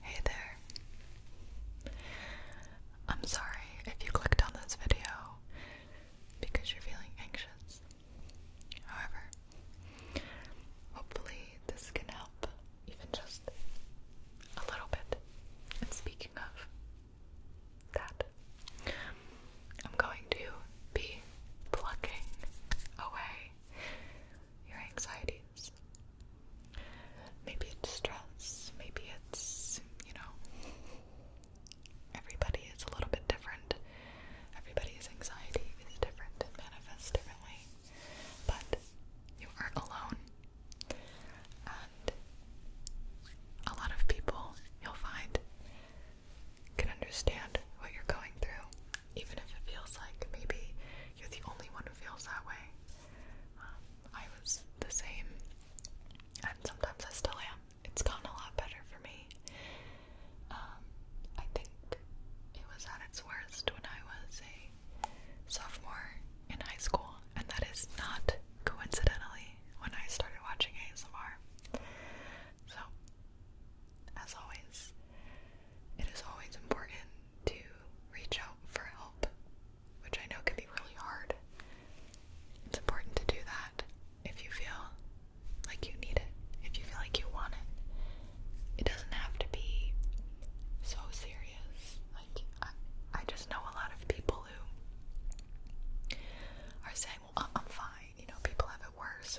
Hey there. I'm sorry if you clicked on this video because you're feeling anxious. However, hopefully, this can help even just a little bit. And speaking of that, I'm going to be plucking away your anxieties. Maybe it's stress, maybe it's, you know, everybody is a little bit different. Everybody's anxiety is different and manifests differently. But you aren't alone. And a lot of people you'll find can understand what you're going through, even if it feels like maybe you're the only one who feels that way. Um, I was the same, and sometimes I still am. It's gotten a lot better for me. Um, I think it was at its worst when I was a sophomore in high school, and that is not coincidentally when I started watching ASMR. So as always, it is always important to reach out for help, which I know can be really hard. It's important to do that if you feel like you need it, if you feel like you want it. It doesn't have to be so serious. Like, I, I just know a lot of people who are saying, well, I'm fine, you know, people have it worse,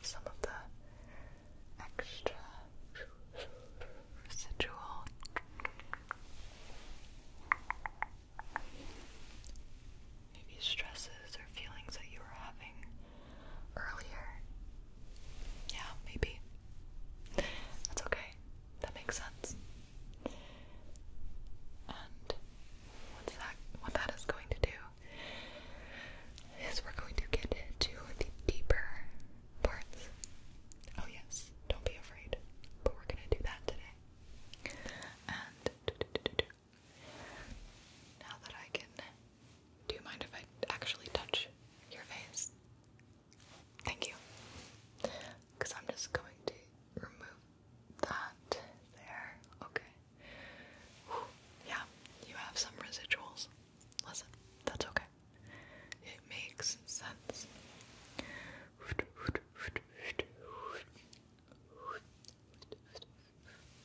some of the extra residual. Maybe stresses or feelings that you were having earlier. Yeah, maybe. That's okay. That makes sense. And what that what that is going to do is we're going to get to the deeper parts. Oh yes, don't be afraid. But we're gonna do that today. And now that I can, do you mind if I actually touch your face? Thank you. Because I'm just going to remove that there. Okay. Yeah, you have some residuals. Listen, that's okay. It makes sense.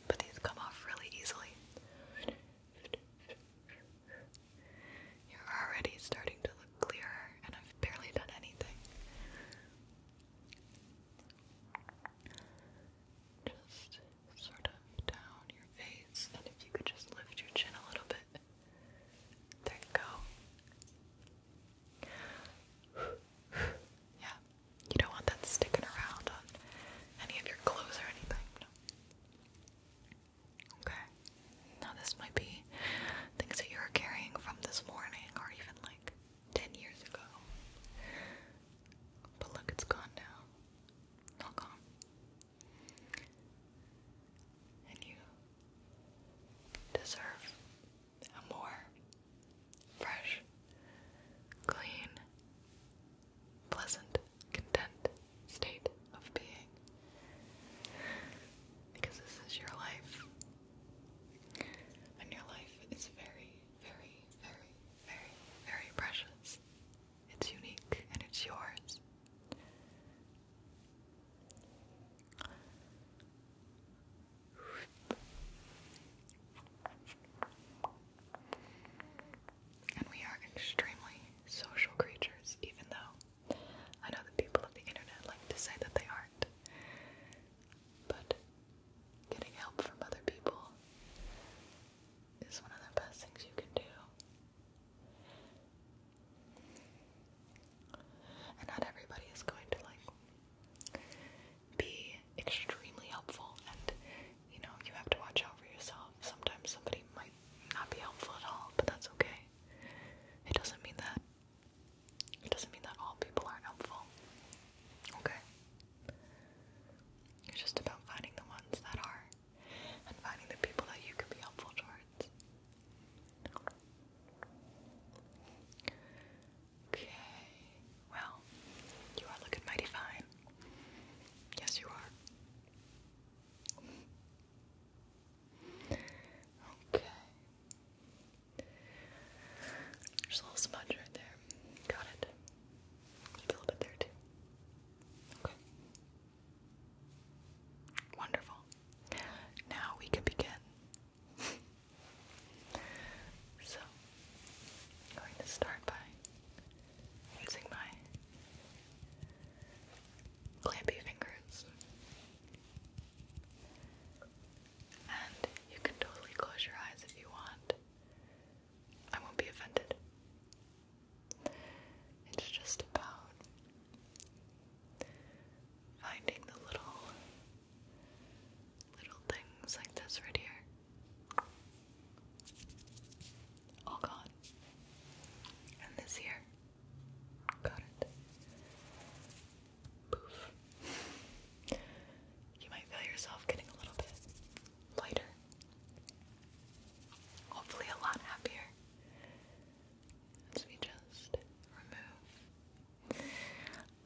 But these come off really easily. You're already starting to look clearer, and I've barely done anything just sort of down your face, and if you could just lift your chin a little bit. There you go. Yeah, you don't want that sticking around on any of your clothes or anything. Okay, now this might be things that you're carrying from this morning, or even like 10 years ago. But look, it's gone now. Not And you deserve a more fresh, clean, pleasant, content state of being. Because this is your life. And your life is very very, very, very, very precious. It's unique and it's yours. And we are extremely social creatures, even though I know that people of the internet like to say that they aren't. But getting help from other people is one of the best things you can do. And not everybody is going to like be extremely helpful and you know, you have to watch out for yourself. Sometimes somebody might not be helpful at all, but that's okay. It doesn't mean that it doesn't mean that all people aren't helpful. Okay. It's just about finding the ones that are and finding the people that you can be helpful towards. Okay, well, you are looking mighty fine. Yes, you are. Okay. There's a little smudge right there. Got it. a little bit there too. Okay. Wonderful. Now we can begin. so, going to start by using my clampy fingers. And you can totally close your eyes if you want. I won't be offended. It's just about finding the little little things like this right here. All gone. And this here. Got it. Poof you might feel yourself getting a little bit lighter. Hopefully, a lot happier. As we just remove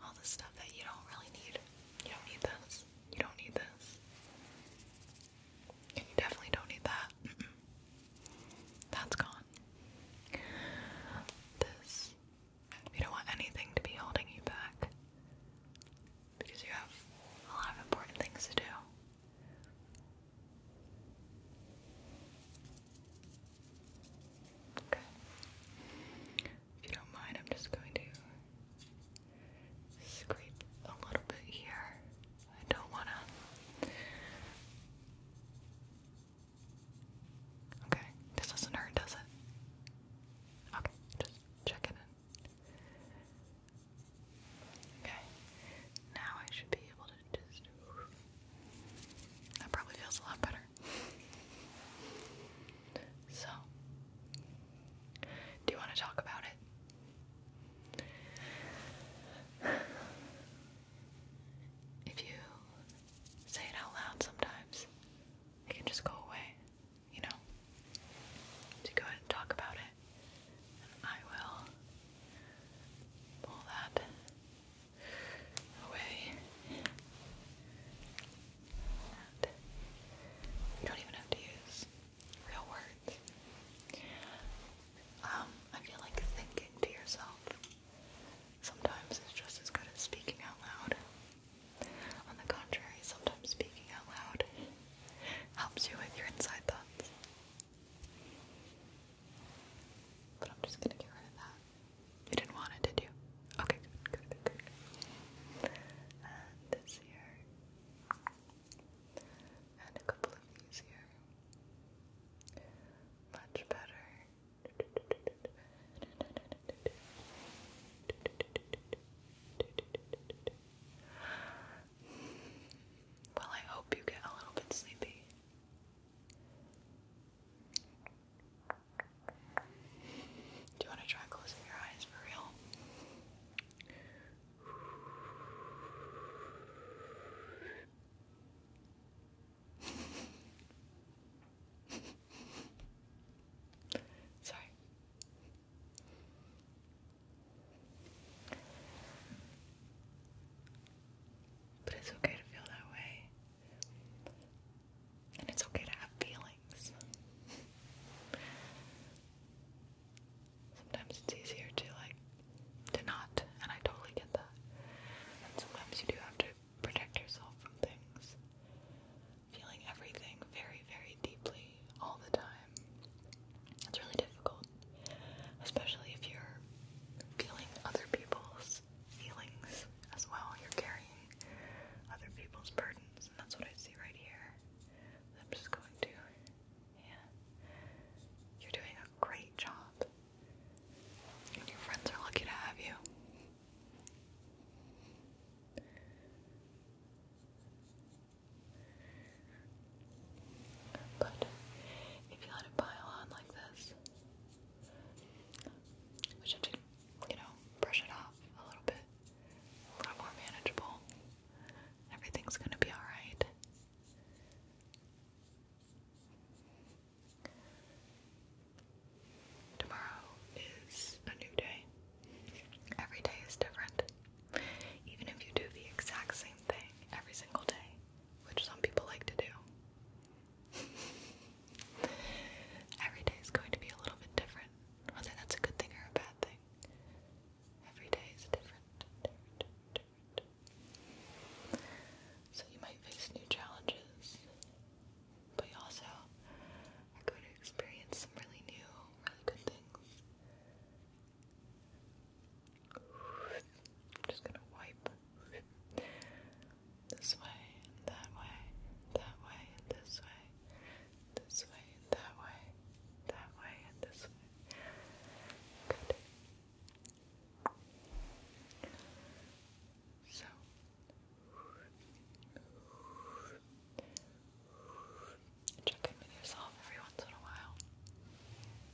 all the stuff that you don't really need. You don't need this. You don't need this. you definitely don't need that. That's gone. This we don't want anything to be holding you back because you have a lot of important things to do. Okay. If you don't mind, I'm just going to scrape a little bit here. I don't want to. Okay, this doesn't hurt, does it? Okay, just checking in. Okay, now I should be able to just. That probably feels a lot better. So, do you want to talk about it? If you say it out loud sometimes, it can just go away you know, to go ahead and talk about it. And I will pull that away. you don't even have to use real words. Um, I feel like thinking to yourself sometimes is just as good as speaking out loud. On the contrary, sometimes speaking out loud helps you with your inside thoughts. But I'm just gonna get rid of that. You didn't want it, did you? Okay, good, good, good, And this here. And a couple of these here. Much better. Well, I hope you get a little bit sleepy. Do you want to try closing your eyes for real? Sorry. But it's okay to feel that way. And it's okay to have feelings. sometimes it's easier to like to not, and I totally get that. And sometimes you do have to protect yourself from things feeling everything very, very deeply all the time. It's really difficult, especially if you're feeling other people's feelings as well. You're carrying other people's burdens, and that's what I see right here. I'm just going to, yeah. You're doing a great job. And your friends are lucky to have you. But if you let it pile on like this, which have you know, brush it off a little bit, a little more manageable, everything's gonna be alright. Tomorrow is a new day. Every day is different. Even if you do the exact same thing every single day, which some people like to do, every day is going to be a little bit different. Whether that's a good thing or a bad thing, every day is different. different. So you might face new challenges but you also are going to experience some really new, really good things. I'm just gonna wipe this way, and that way, that way, and this way, this way, and that way, that way, and this way. Good. So check in with yourself every once in a while.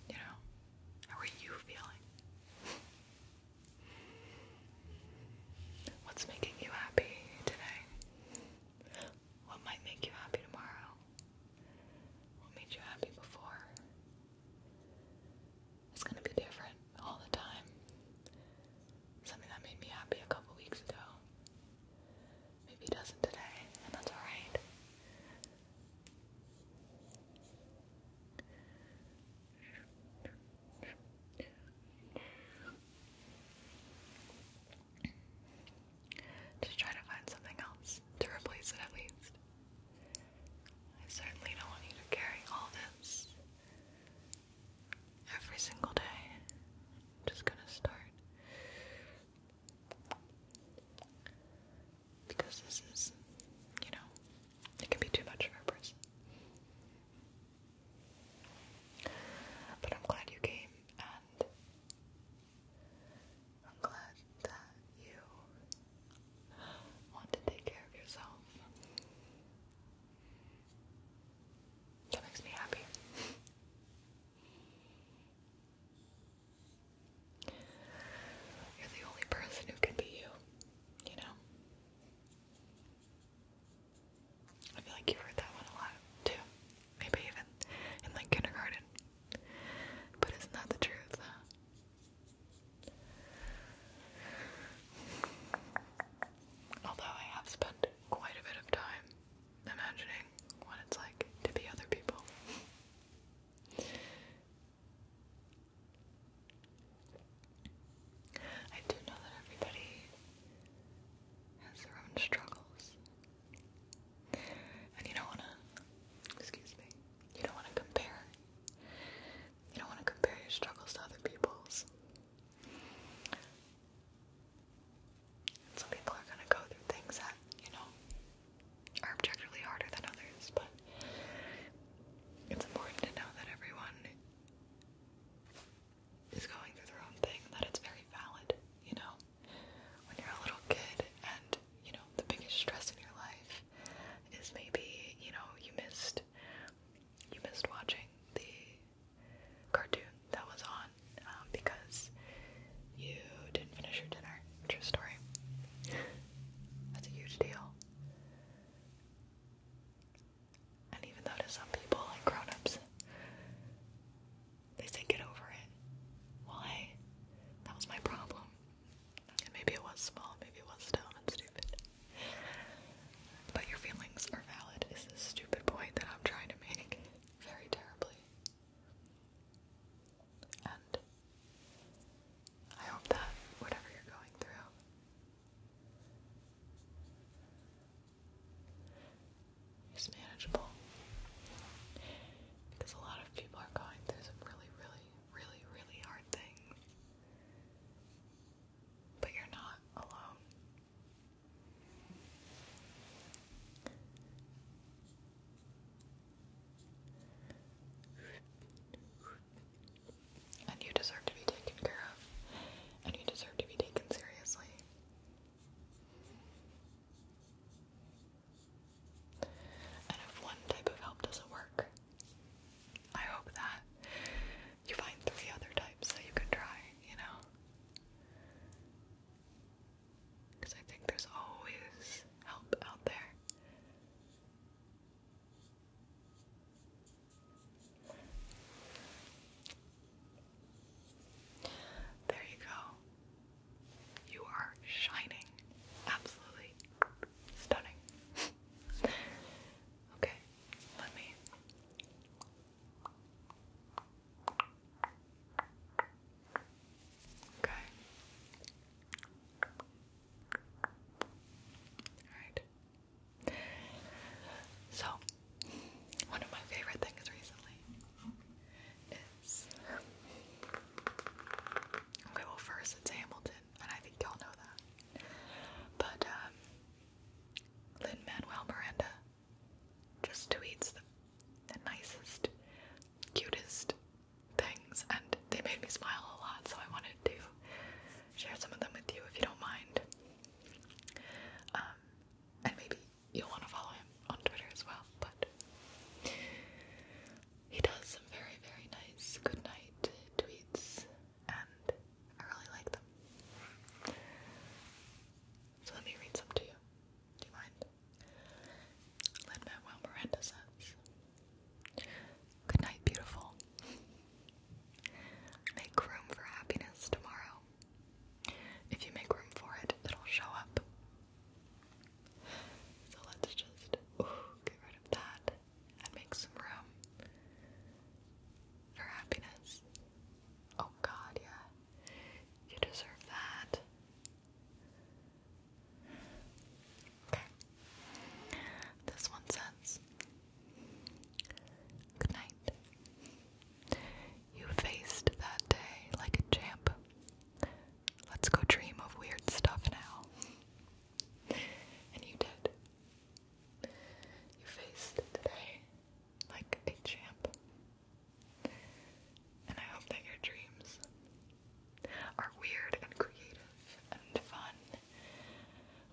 You know, how are you feeling? What's making you happy today? What might make you happy tomorrow? What made you happy before? It's gonna be different all the time something that made me happy a couple weeks ago. Maybe it doesn't today, and that's alright. Just try to find something else to replace it at least. I certainly don't want you to carry all this every single day. I'm just gonna start. Because this is, you know, it can be too much for a But I'm glad you came, and I'm glad that you want to take care of yourself. That makes me happy. You're the only person who can be you, you know? I feel like you heard that one a lot too. Maybe even in like kindergarten. But isn't that the truth, Although I have spent quite a bit of time imagining what it's like to be other people. I do know that everybody has their own struggles. And you don't want to, excuse me, you don't want to compare. You don't want to compare your struggles to other people's. Some people are gonna go through things that, you know, are objectively harder than others, but it's important to know that everyone is going through their own thing, that it's very valid, you know. When you're a little kid and, you know, the biggest stress in your life is maybe, you know, you missed you missed watching the cartoon that was on um, because you didn't finish your dinner. True story. That's a huge deal. And even though to some people, like grown ups, they say get over it. Why? That was my problem. maybe it was small, maybe it was dumb and stupid. But your feelings are valid, is the stupid point that I'm trying to make very terribly. And I hope that whatever you're going through. Is manageable because a lot of people are going through some really, really, really, really hard things, but you're not alone. And you deserve to be taken care of. And you deserve to be taken seriously. And if one type of help doesn't work, I hope that you find three other types that you can try, you know? Because I think there's always help out there. There you go. You are shining. Absolutely stunning. okay. Let me. Okay. Alright. So, one of my favorite things recently is. Okay, well, first it's Hamilton, and I think y'all know that. But, um, Lin Manuel Miranda just tweets the, nicest, cutest things, and they made me smile a lot, so I wanted to share some of them with you if you don't mind. Um, and maybe you'll want to follow him on Twitter as well, but he does some very, very nice good night tweets and I really like them. So let me read some to you. Do you mind? Lin Manuel Miranda says, Good night, beautiful. Make room for happiness tomorrow. If you make room for it, it'll show up. So let's just get rid of that and make some room for happiness. Oh god, yeah. You deserve that. Okay. This one says Good night. You faced that day like a champ. Let's go dream of weird stuff now. And you did. You faced today like a champ. And I hope that your dreams are weird and creative and fun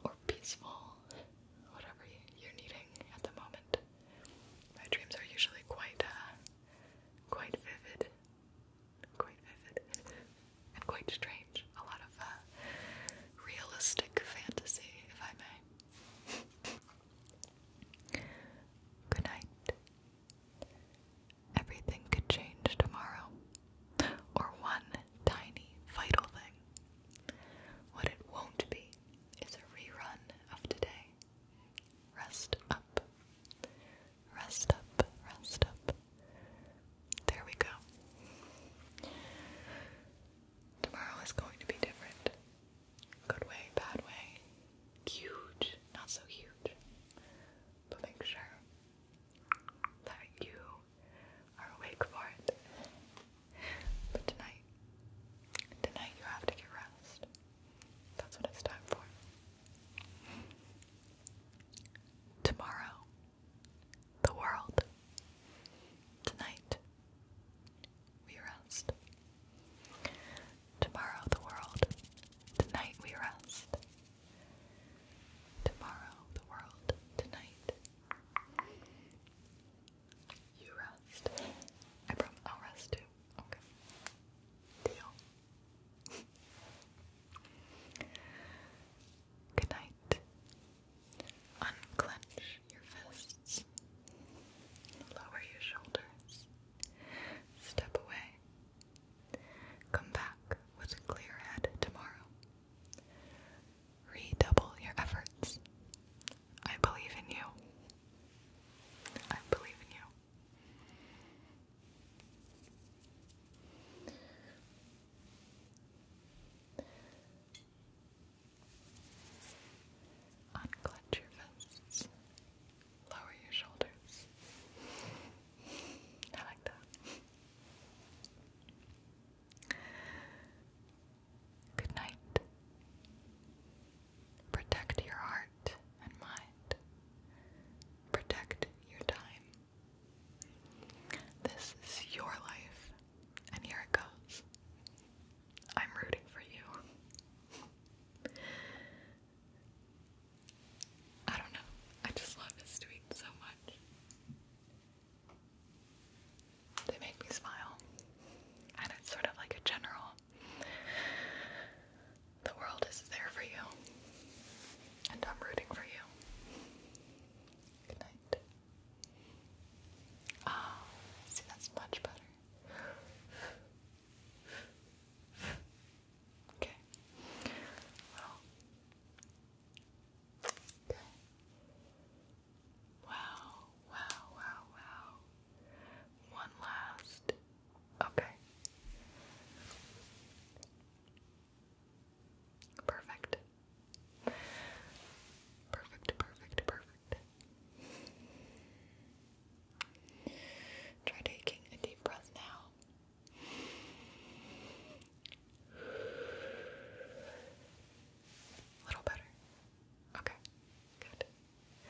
or peaceful, whatever you're needing at the moment. My dreams are usually quite, uh, quite vivid. Quite vivid and quite strange. A lot of uh, realistic fantasy, if I may. Good night. Everything could change tomorrow, or one tiny vital thing. What it won't be is a rerun of today. Rest up. Rest up, rest up. There we go. Tomorrow is going to be different. Good way, bad way. Huge, not so huge. But make sure that you are awake for it. But tonight, tonight you have to get rest. That's what it's time for. Tomorrow the world. Tonight, we rest. Tomorrow, the world. Tonight, we rest. Tomorrow, the world. Tonight, you rest. I promise I'll rest too. Okay. Deal. Good night. Unclench your fists. Lower your shoulders. Step away. Come back with a clear head tomorrow. Redouble your efforts. I believe in you. I believe in you. Unclench your fists. Lower your shoulders. I like that. Good night. Protect your heart and mind. Protect your time. This is your life, and here it goes. I'm rooting for you. I don't know. I just love his tweets so much. They make me smile. And it's sort of like a general the world is there for you. And I'm rooting for you. Good night. Ah, see, that's much better. Okay. Well. Okay. Wow, wow, wow, wow. One last. Okay. Perfect. Perfect, perfect, perfect. Try taking a deep breath now. A little better. Okay, good.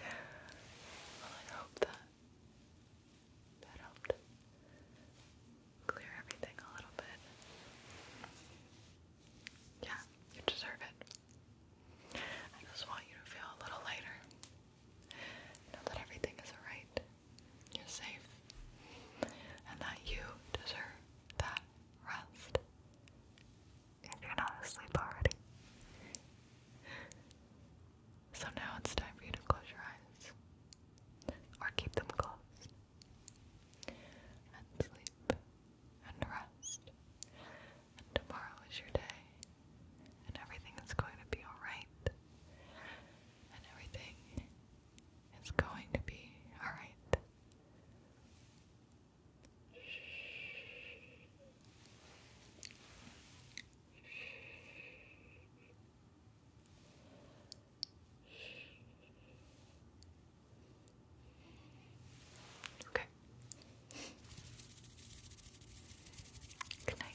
I hope that that helped clear everything a little bit. Yeah, you deserve it. I just want you to feel a little lighter. Know that everything is alright. You're safe. And that you deserve that rest. If you're not asleep already. So now it's time for you to close your eyes. Or keep them closed and sleep and rest. And tomorrow is your day, and everything is going to be alright, and everything is going to be alright. Okay. Good night.